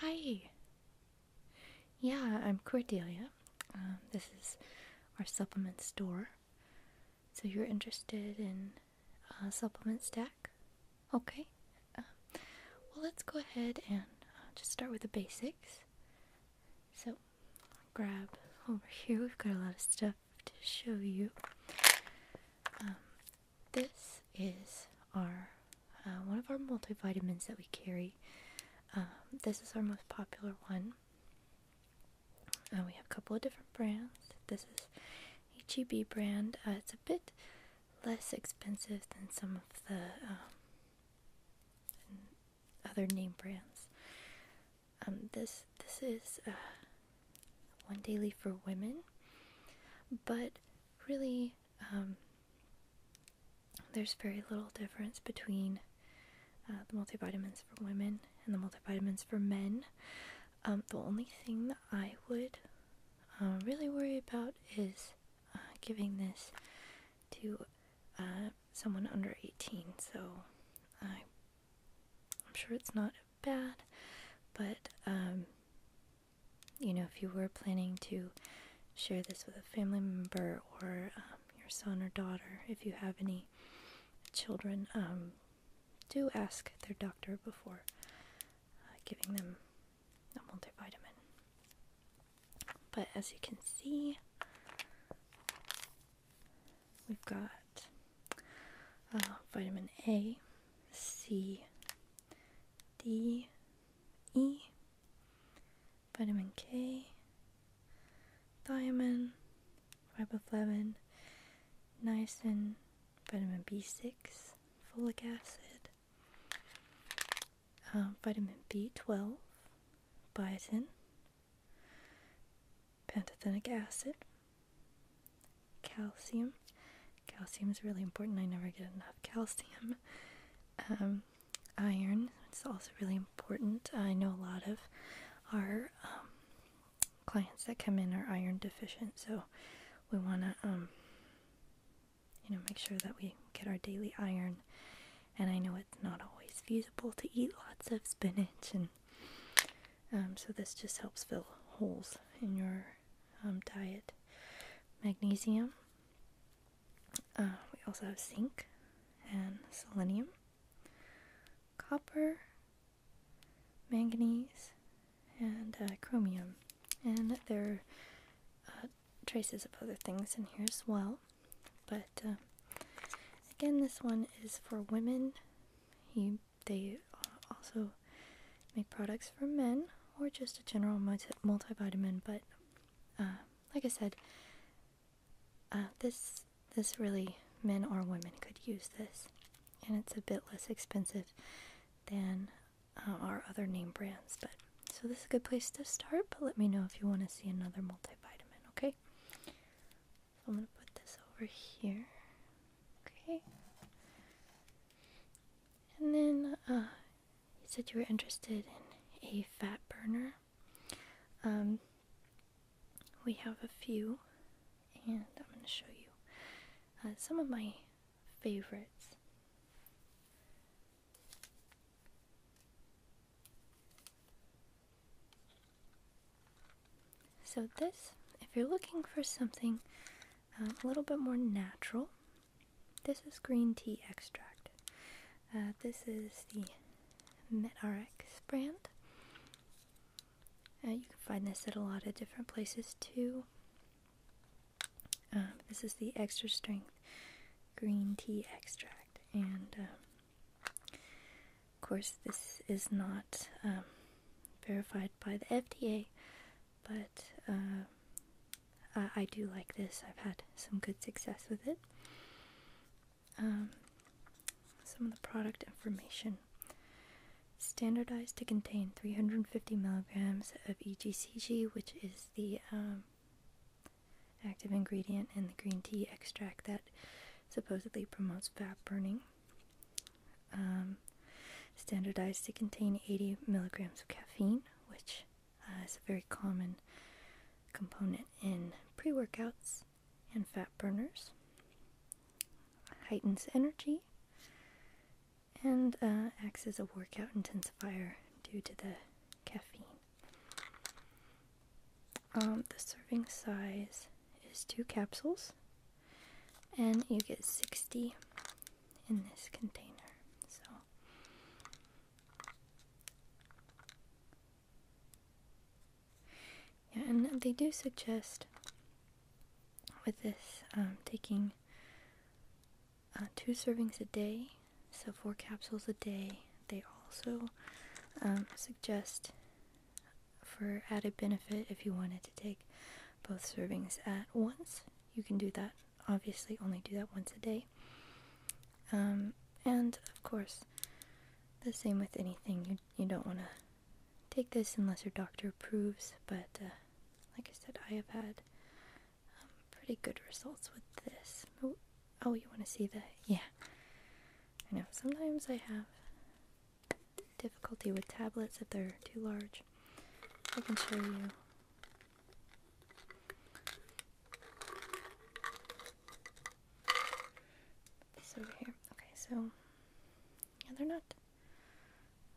Hi! Yeah, I'm Cordelia. Um, this is our supplement store. So you're interested in a supplement stack? Okay. Um, well, let's go ahead and uh, just start with the basics. So, grab over here. We've got a lot of stuff to show you. Um, this is our uh, one of our multivitamins that we carry. Um, this is our most popular one. Uh, we have a couple of different brands. This is HEB brand. Uh, it's a bit less expensive than some of the um, other name brands. Um, this this is one daily for women, but really um, there's very little difference between uh, the multivitamins for women and the multivitamins for men. Um, the only thing that I would uh, really worry about is uh, giving this to someone under 18. So I, am sure it's not bad, but um, you know, if you were planning to share this with a family member or um, your son or daughter, if you have any children, um, do ask their doctor before uh, giving them a multivitamin. But as you can see, we've got uh, vitamin A, C, D, E, vitamin K, thiamine, riboflavin, niacin, vitamin B6, folic acid, uh, vitamin B12, biotin, pantothenic acid, calcium, Calcium is really important. I never get enough calcium. Um, iron its also really important. I know a lot of our um, clients that come in are iron deficient, so we want to, um, you know, make sure that we get our daily iron. And I know it's not always feasible to eat lots of spinach, and so this just helps fill holes in your um, diet magnesium. Uh, we also have zinc and selenium, copper, manganese, and uh, chromium. And there are uh, traces of other things in here as well. But again, this one is for women. You, they also make products for men or just a general multivitamin. But uh, like I said, uh, this this really men or women could use this, and it's a bit less expensive than uh, our other name brands. But so this is a good place to start. But let me know if you want to see another multivitamin. Okay, I'm gonna put this over here. Okay, and then you said you were interested in a fat burner. Um, we have a few, and I'm going to show you uh, some of my favorites. So this, if you're looking for something uh, a little bit more natural, this is green tea extract. Uh, this is the MetRx brand. Uh, you can find this at a lot of different places too. Um, this is the extra strength green tea extract, and um, of course, this is not um, verified by the FDA, but um, I, do like this. I've had some good success with it. Um, some of the product information. Standardized to contain 350 milligrams of EGCG, which is the um, active ingredient in the green tea extract that supposedly promotes fat burning. standardized to contain 80 milligrams of caffeine, which uh, it's a very common component in pre workouts and fat burners. Heightens energy and uh, acts as a workout intensifier due to the caffeine. Um, the serving size is two capsules, and you get 60 in this container. So yeah, and they do suggest with this um, taking uh, two servings a day, so four capsules a day. They also um, suggest for added benefit if you wanted to take both servings at once, you can do that obviously only do that once a day. Um, and of course, the same with anything. You, you don't want to take this unless your doctor approves, but uh, like I said, I have had um, pretty good results with this. Oh, oh you want to see the. Yeah. I know, sometimes I have difficulty with tablets if they're too large. I can show you this here. Okay, so yeah, they're not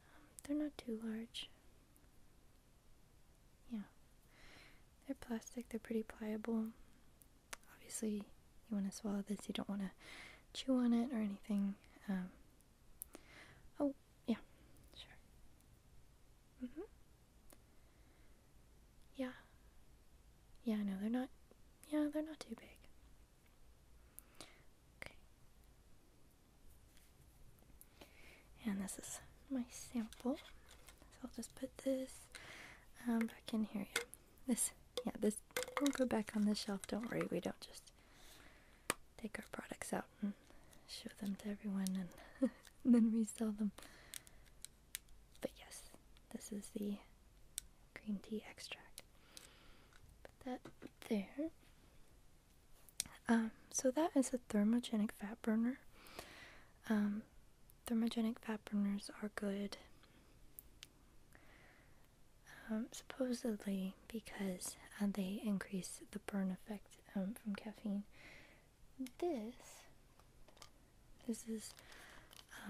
um, they're not too large. Yeah, they're plastic. They're pretty pliable. Obviously, you want to swallow this. You don't want to chew on it or anything. oh, yeah, sure. Mm hmm. Yeah. Yeah, no, they're not. Yeah, they're not too big. Okay. And this is my sample. So I'll just put this um, back in here. Yeah. This, yeah, this will go back on the shelf. Don't worry, we don't just take our products out and show them to everyone and then resell them. But yes, this is the green tea extract. Put that there. Um, so that is a thermogenic fat burner. Um, thermogenic fat burners are good um, supposedly because uh, they increase the burn effect from caffeine this this is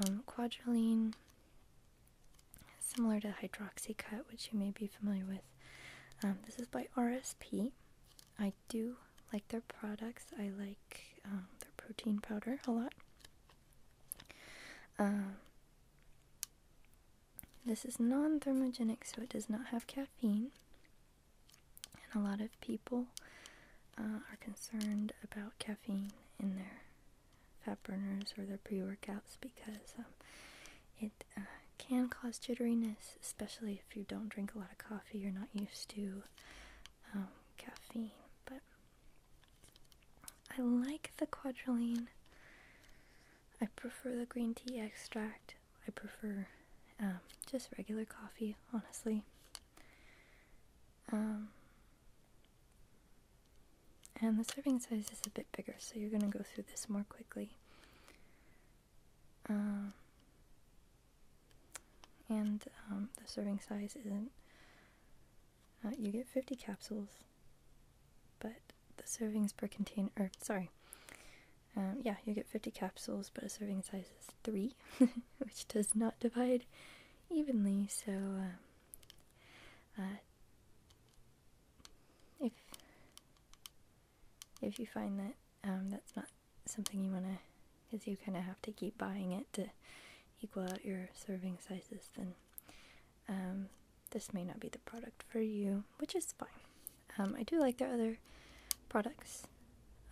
um, similar to hydroxycut, which you may be familiar with. Um, this is by RSP. I do like their products. I like um, their protein powder a lot. Um, this is non thermogenic, so it does not have caffeine. And a lot of people uh, are concerned about caffeine in their fat burners or their pre workouts because um, it uh, can cause jitteriness, especially if you don't drink a lot of coffee, you're not used to um, caffeine. But I like the quadrilline. I prefer the green tea extract I prefer um, just regular coffee, honestly. Um, and the serving size is a bit bigger, so you're going to go through this more quickly. Um, and the serving size isn't. Uh, you get 50 capsules, but the servings per container, sorry, um, yeah, you get 50 capsules, but a serving size is 3, which does not divide evenly, so um, uh, if, if you find that um, that's not something you want to, because you kind of have to keep buying it to equal out your serving sizes, then this may not be the product for you, which is fine. Um, I do like their other products,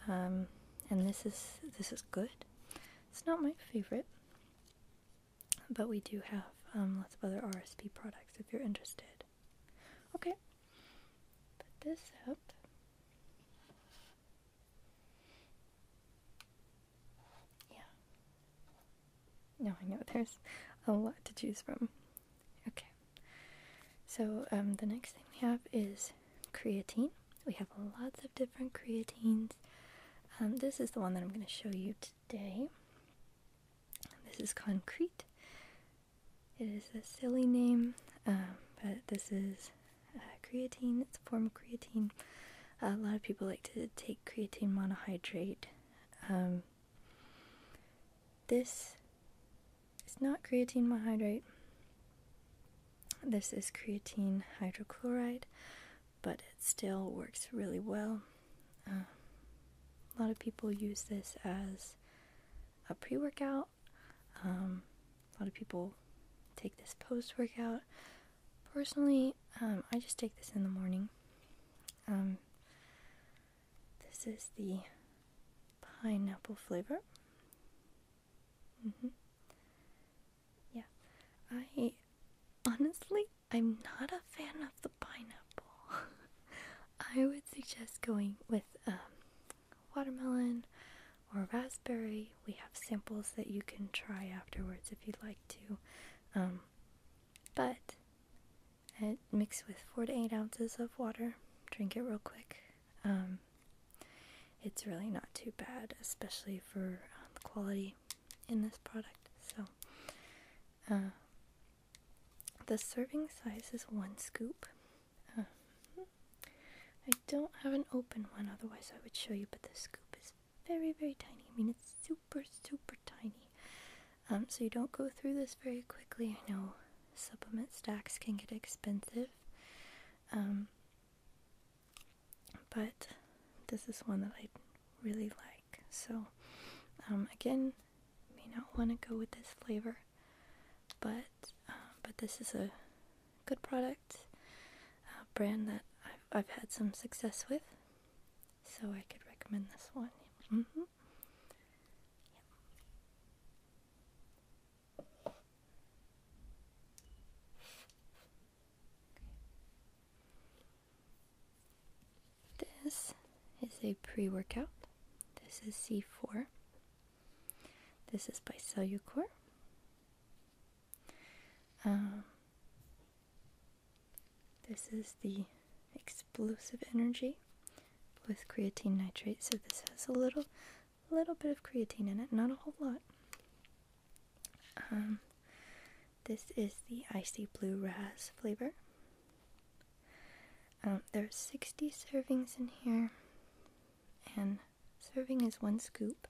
um, and this is this is good. It's not my favorite, but we do have um, lots of other RSP products if you're interested. Okay, this Yeah. Now I know there's a lot to choose from. Okay. So um, the next thing we have is creatine. We have lots of different creatines. Um, this is the one that I'm going to show you today. This is concrete. It is a silly name, um, but this is uh, creatine. It's a form of creatine. a lot of people like to take creatine monohydrate. this it's not creatine monohydrate. This is creatine hydrochloride, but it still works really well. Uh, a lot of people use this as a pre workout. Um, a lot of people take this post workout. Personally, um, I just take this in the morning. Um, this is the pineapple flavor. Mm-hmm. Yeah, I honestly, I'm not a fan of the pineapple. I would suggest going with um, watermelon or raspberry. We have samples that you can try afterwards if you'd like to. Um, but uh, mix with four to eight ounces of water. Drink it real quick. Um, it's really not too bad, especially for uh, the quality in this product. So, uh, the serving size is one scoop. Um, I don't have an open one, otherwise, I would show you, but the scoop is very, very tiny. I mean, it's super, super tiny. Um, so, you don't go through this very quickly. I know supplement stacks can get expensive. Um, but this is one that I really like. So, um, again, may not want to go with this flavor, but uh, but this is a good product uh, brand that I've, had some success with, so I could recommend this one. Mm-hmm. This is a pre workout. This is C4. This is by Cellucor. Um, this is the explosive energy with creatine nitrate. So this has a little a little bit of creatine in it, not a whole lot. Um, this is the icy blue ras flavor. Um, There's 60 servings in here, and serving is one scoop.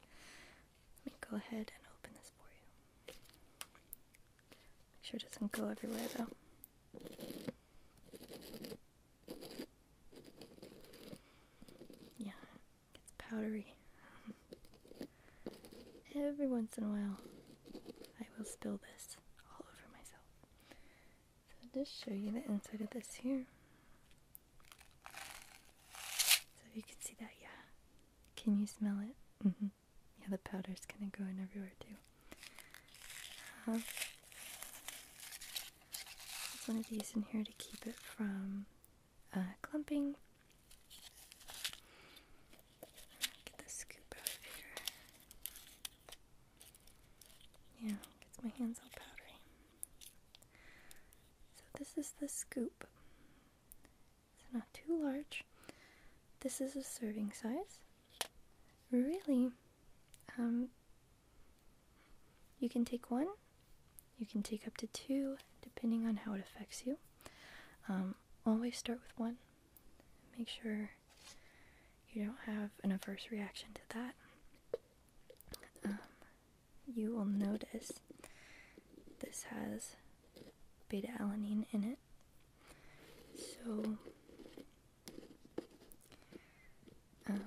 Let me go ahead and open this for you. Make sure it doesn't go everywhere though. Yeah, it's powdery. Every once in a while, I will spill this all over myself. So, I'll just show you the inside of this here. So, you can see that, yeah. Can you smell it? Mm -hmm. Yeah, the powder's gonna go in everywhere too. Uh-huh. There's one of these in here to keep it from uh, clumping. Get the scoop out of here. Yeah, gets my hands all powdery. So this is the scoop. It's not too large. This is a serving size. Really, um, you can take one, you can take up to two, depending on how it affects you. Um, always start with one. Make sure you don't have an adverse reaction to that. Um, you will notice this has beta alanine in it. So um,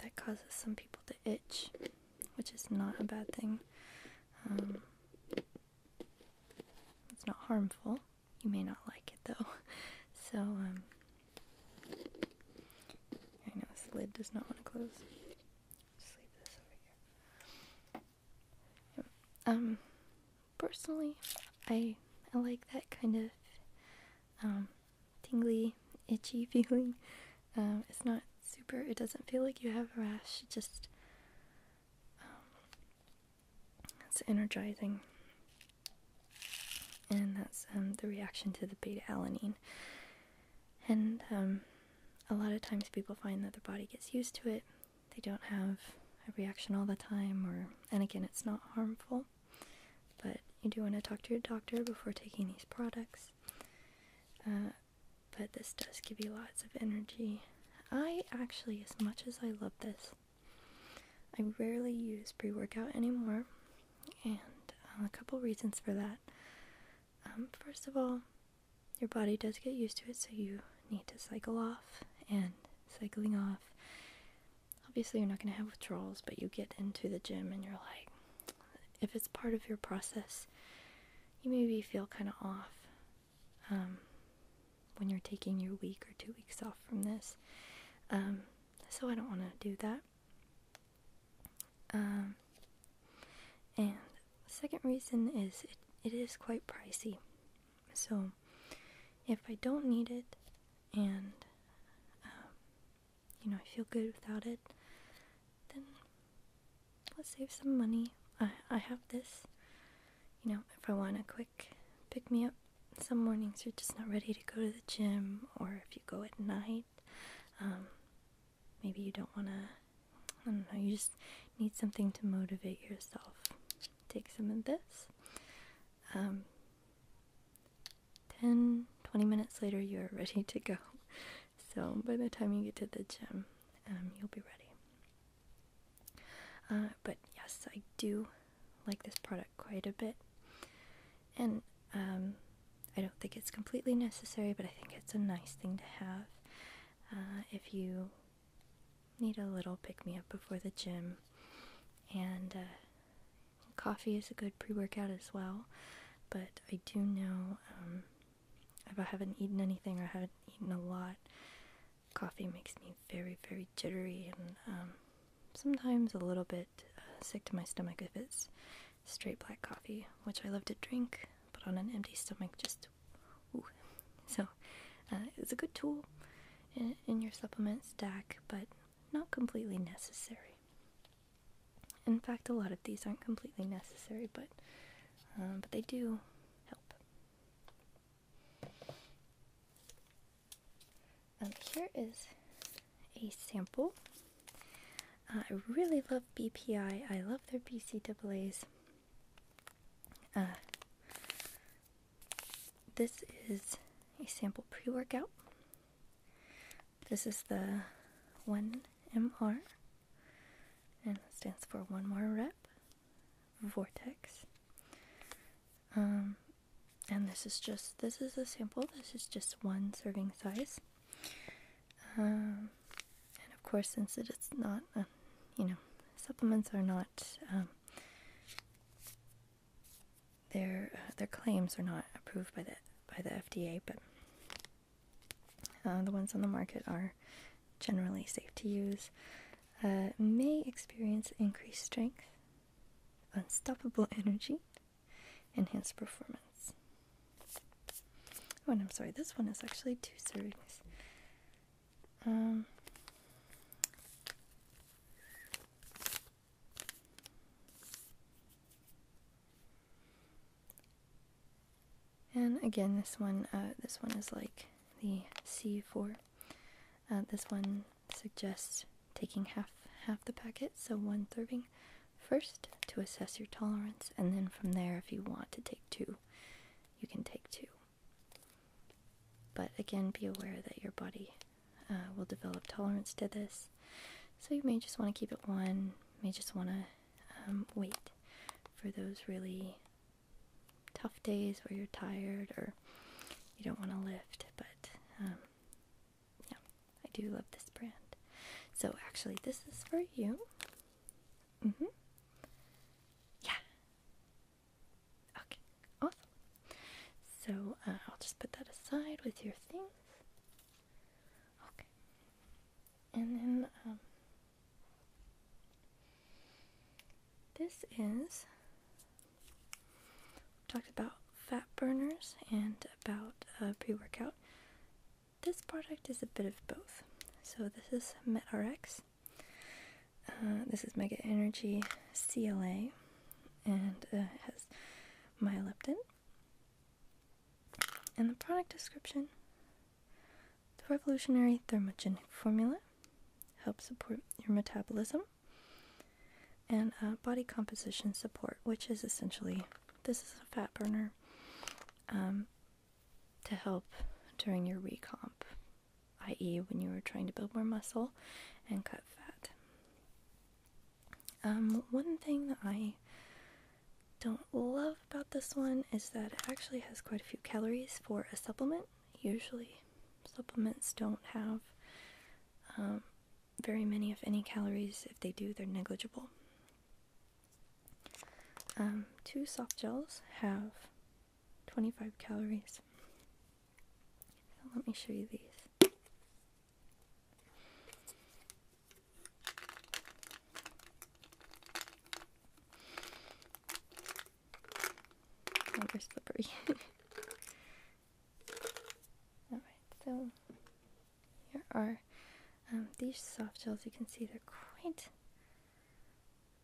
that causes some people to itch, which is not a bad thing. Um, it's not harmful. You may not like it though. So, um, I know this lid does not want to close. Um, personally, I I like that kind of tingly, itchy feeling. Um, it's not super, it doesn't feel like you have a rash, it just um, it's energizing. And that's um, the reaction to the beta alanine. And a lot of times people find that their body gets used to it, they don't have a reaction all the time, or, and again, it's not harmful. But you do want to talk to your doctor before taking these products. Uh, but this does give you lots of energy. I actually, as much as I love this, I rarely use pre workout anymore, and uh, a couple reasons for that. Um, first of all, your body does get used to it, so you need to cycle off, and cycling off obviously you're not going to have withdrawals, but you get into the gym and you're like, if it's part of your process, you maybe feel kind of off um, when you're taking your week or two weeks off from this. Um, so I don't want to do that. Um, and second reason is it, it is quite pricey. So if I don't need it and you know, I feel good without it, then let's save some money. I, I have this, you know, if I want a quick pick me up. Some mornings you're just not ready to go to the gym, or if you go at night, um, maybe you don't want to, I don't know, you just need something to motivate yourself. Take some of this. Um, 10 20 minutes later, you're ready to go. So, by the time you get to the gym, um, you'll be ready. Uh, but yes, I do like this product quite a bit. And um, I don't think it's completely necessary, but I think it's a nice thing to have uh, if you need a little pick me up before the gym and uh, Coffee is a good pre workout as well, but I do know um, if I haven't eaten anything or haven't eaten a lot, coffee makes me very, very jittery and um, sometimes a little bit uh, sick to my stomach if it's straight black coffee, which I love to drink, but on an empty stomach, just So uh, it's a good tool in your supplement stack, but not completely necessary. In fact, a lot of these aren't completely necessary, but um, but they do help. Um, here is a sample. Uh, I really love BPI. I love their BCAAs. Uh, this is a sample pre-workout. This is the one MR and stands for one more rep, vortex. Um, and this is just, this is a sample, this is just one serving size. Um, and of course, since it is not, you know, supplements are not um, their uh, their claims are not approved by the by the FDA, but uh, the ones on the market are generally safe to use. Uh, may experience increased strength, unstoppable energy, enhanced performance. Oh, and I'm sorry, this one is actually two servings. Um, and again, this one, uh, this one is like the C4. Uh, this one suggests taking half half the packet, so one serving first to assess your tolerance, and then from there, if you want to take two, you can take two. But again, be aware that your body uh, will develop tolerance to this. So you may just want to keep it one, may just want to um, wait for those really tough days where you're tired or you don't want to lift. But um, yeah, I do love this brand. So actually, this is for you. hmm. Yeah. Okay, awesome. So uh, I'll just put that aside with your things. Okay. And then um, this is talked about fat burners and about uh, pre-workout. This product is a bit of both. So this is MetRx. Uh, this is Mega Energy CLA, and uh, it has myoleptin, in the product description, the revolutionary thermogenic formula helps support your metabolism and uh, body composition support, which is essentially this is a fat burner um, to help during your recomp, i.e., when you are trying to build more muscle and cut fat. Um, one thing that I don't love about this one is that it actually has quite a few calories for a supplement. Usually, supplements don't have um, very many, if any, calories. If they do, they're negligible. Um, two soft gels have 25 calories. let me show you these. Oh, slippery. Alright, so here are um, these soft gels. You can see they're quite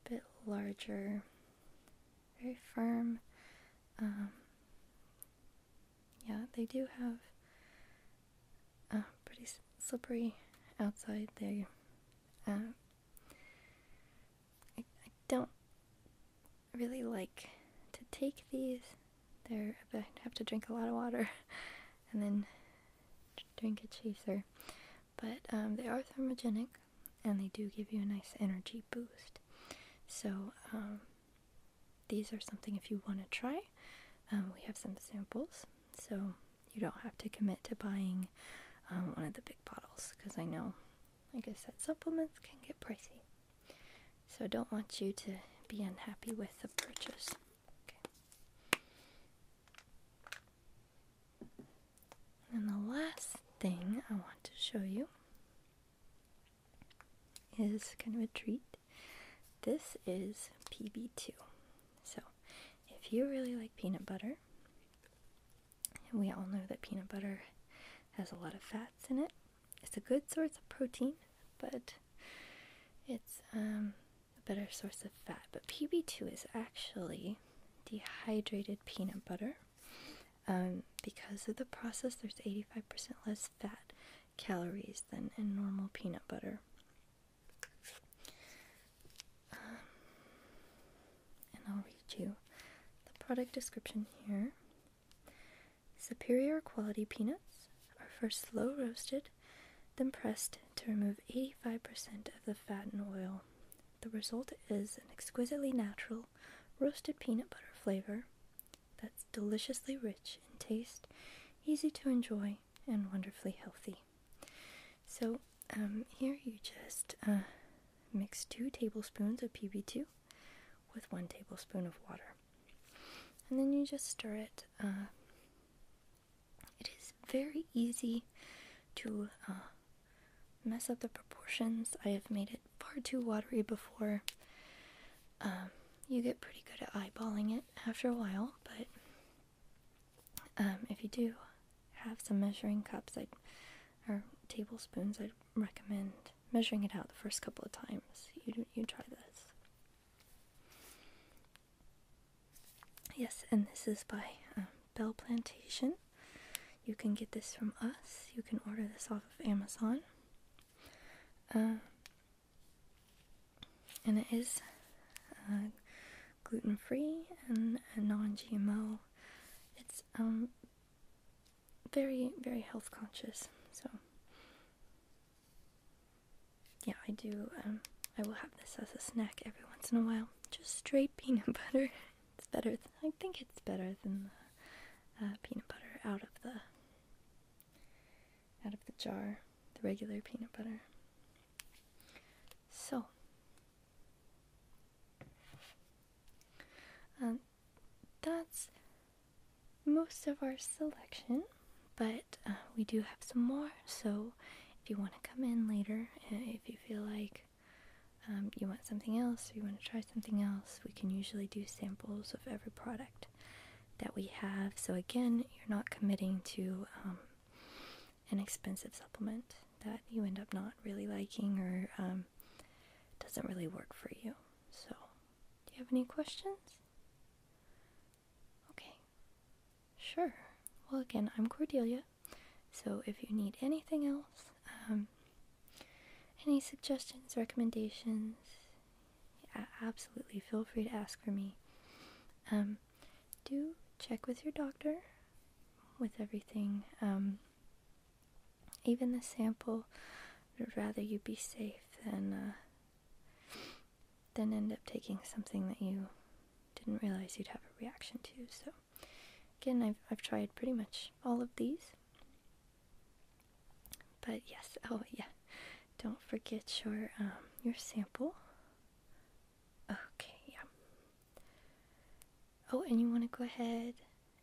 a bit larger, very firm. Um, yeah, they do have uh, pretty slippery outside. They, um, I, don't really like to take these. They're I have to drink a lot of water, and then drink a chaser. But um, they are thermogenic, and they do give you a nice energy boost. So um, these are something if you want to try. Um, we have some samples, so you don't have to commit to buying um, one of the big bottles because I know, like I said, supplements can get pricey. So I don't want you to be unhappy with the purchase. And the last thing I want to show you is kind of a treat. This is PB2. So, if you really like peanut butter, we all know that peanut butter has a lot of fats in it, it's a good source of protein, but it's um, a better source of fat. But PB2 is actually dehydrated peanut butter. Um, because of the process, there's 85% less fat calories than in normal peanut butter. Um, and I'll read you the product description here. Superior quality peanuts are first slow roasted, then pressed to remove 85% of the fat and oil. The result is an exquisitely natural roasted peanut butter flavor that's deliciously rich in taste, easy to enjoy, and wonderfully healthy. So, um, here you just uh, mix two tablespoons of PB2 with one tablespoon of water. And then you just stir it. Uh, it is very easy to uh, mess up the proportions. I have made it far too watery before. Um, you get pretty good at eyeballing it after a while, but um, if you do have some measuring cups or tablespoons, I'd recommend measuring it out the first couple of times. You you try this. Yes, and this is by um, Bell Plantation. You can get this from us. You can order this off of Amazon. Um, and it is uh, gluten free and non GMO. It's um, very, very health conscious. So, yeah, I do. Um, I will have this as a snack every once in a while. Just straight peanut butter. It's better. I think it's better than the uh, peanut butter out of the out of the jar, the regular peanut butter. So, um, that's most of our selection, but uh, we do have some more. So, if you want to come in later, uh, if you feel like um, you want something else, you want to try something else, we can usually do samples of every product that we have. So, again, you're not committing to um, an expensive supplement that you end up not really liking or um, doesn't really work for you. So, do you have any questions? Okay, sure. Well, again, I'm Cordelia. So, if you need anything else, um, any suggestions, recommendations, absolutely feel free to ask for me. Um, do check with your doctor with everything. Um, even the sample, rather you be safe than uh, than end up taking something that you didn't realize you'd have a reaction to. So, again, I've I've tried pretty much all of these, but yes, oh yeah, don't forget your um, your sample. Okay, yeah. Oh, and you want to go ahead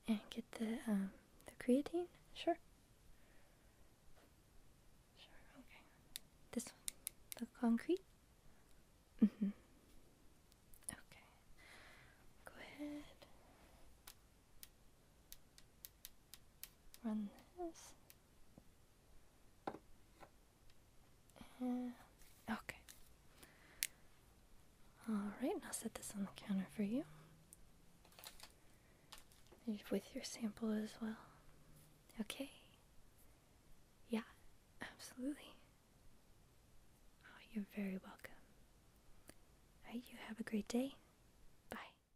and get the um, the creatine? Sure. Sure. Okay. This one, the concrete. Mhm. Mm okay. Go ahead. Run this. Uh, okay. Alright, I'll set this on the counter for you. with your sample as well. Okay. Yeah, absolutely. Oh, you're very welcome. Alright, you have a great day. Bye.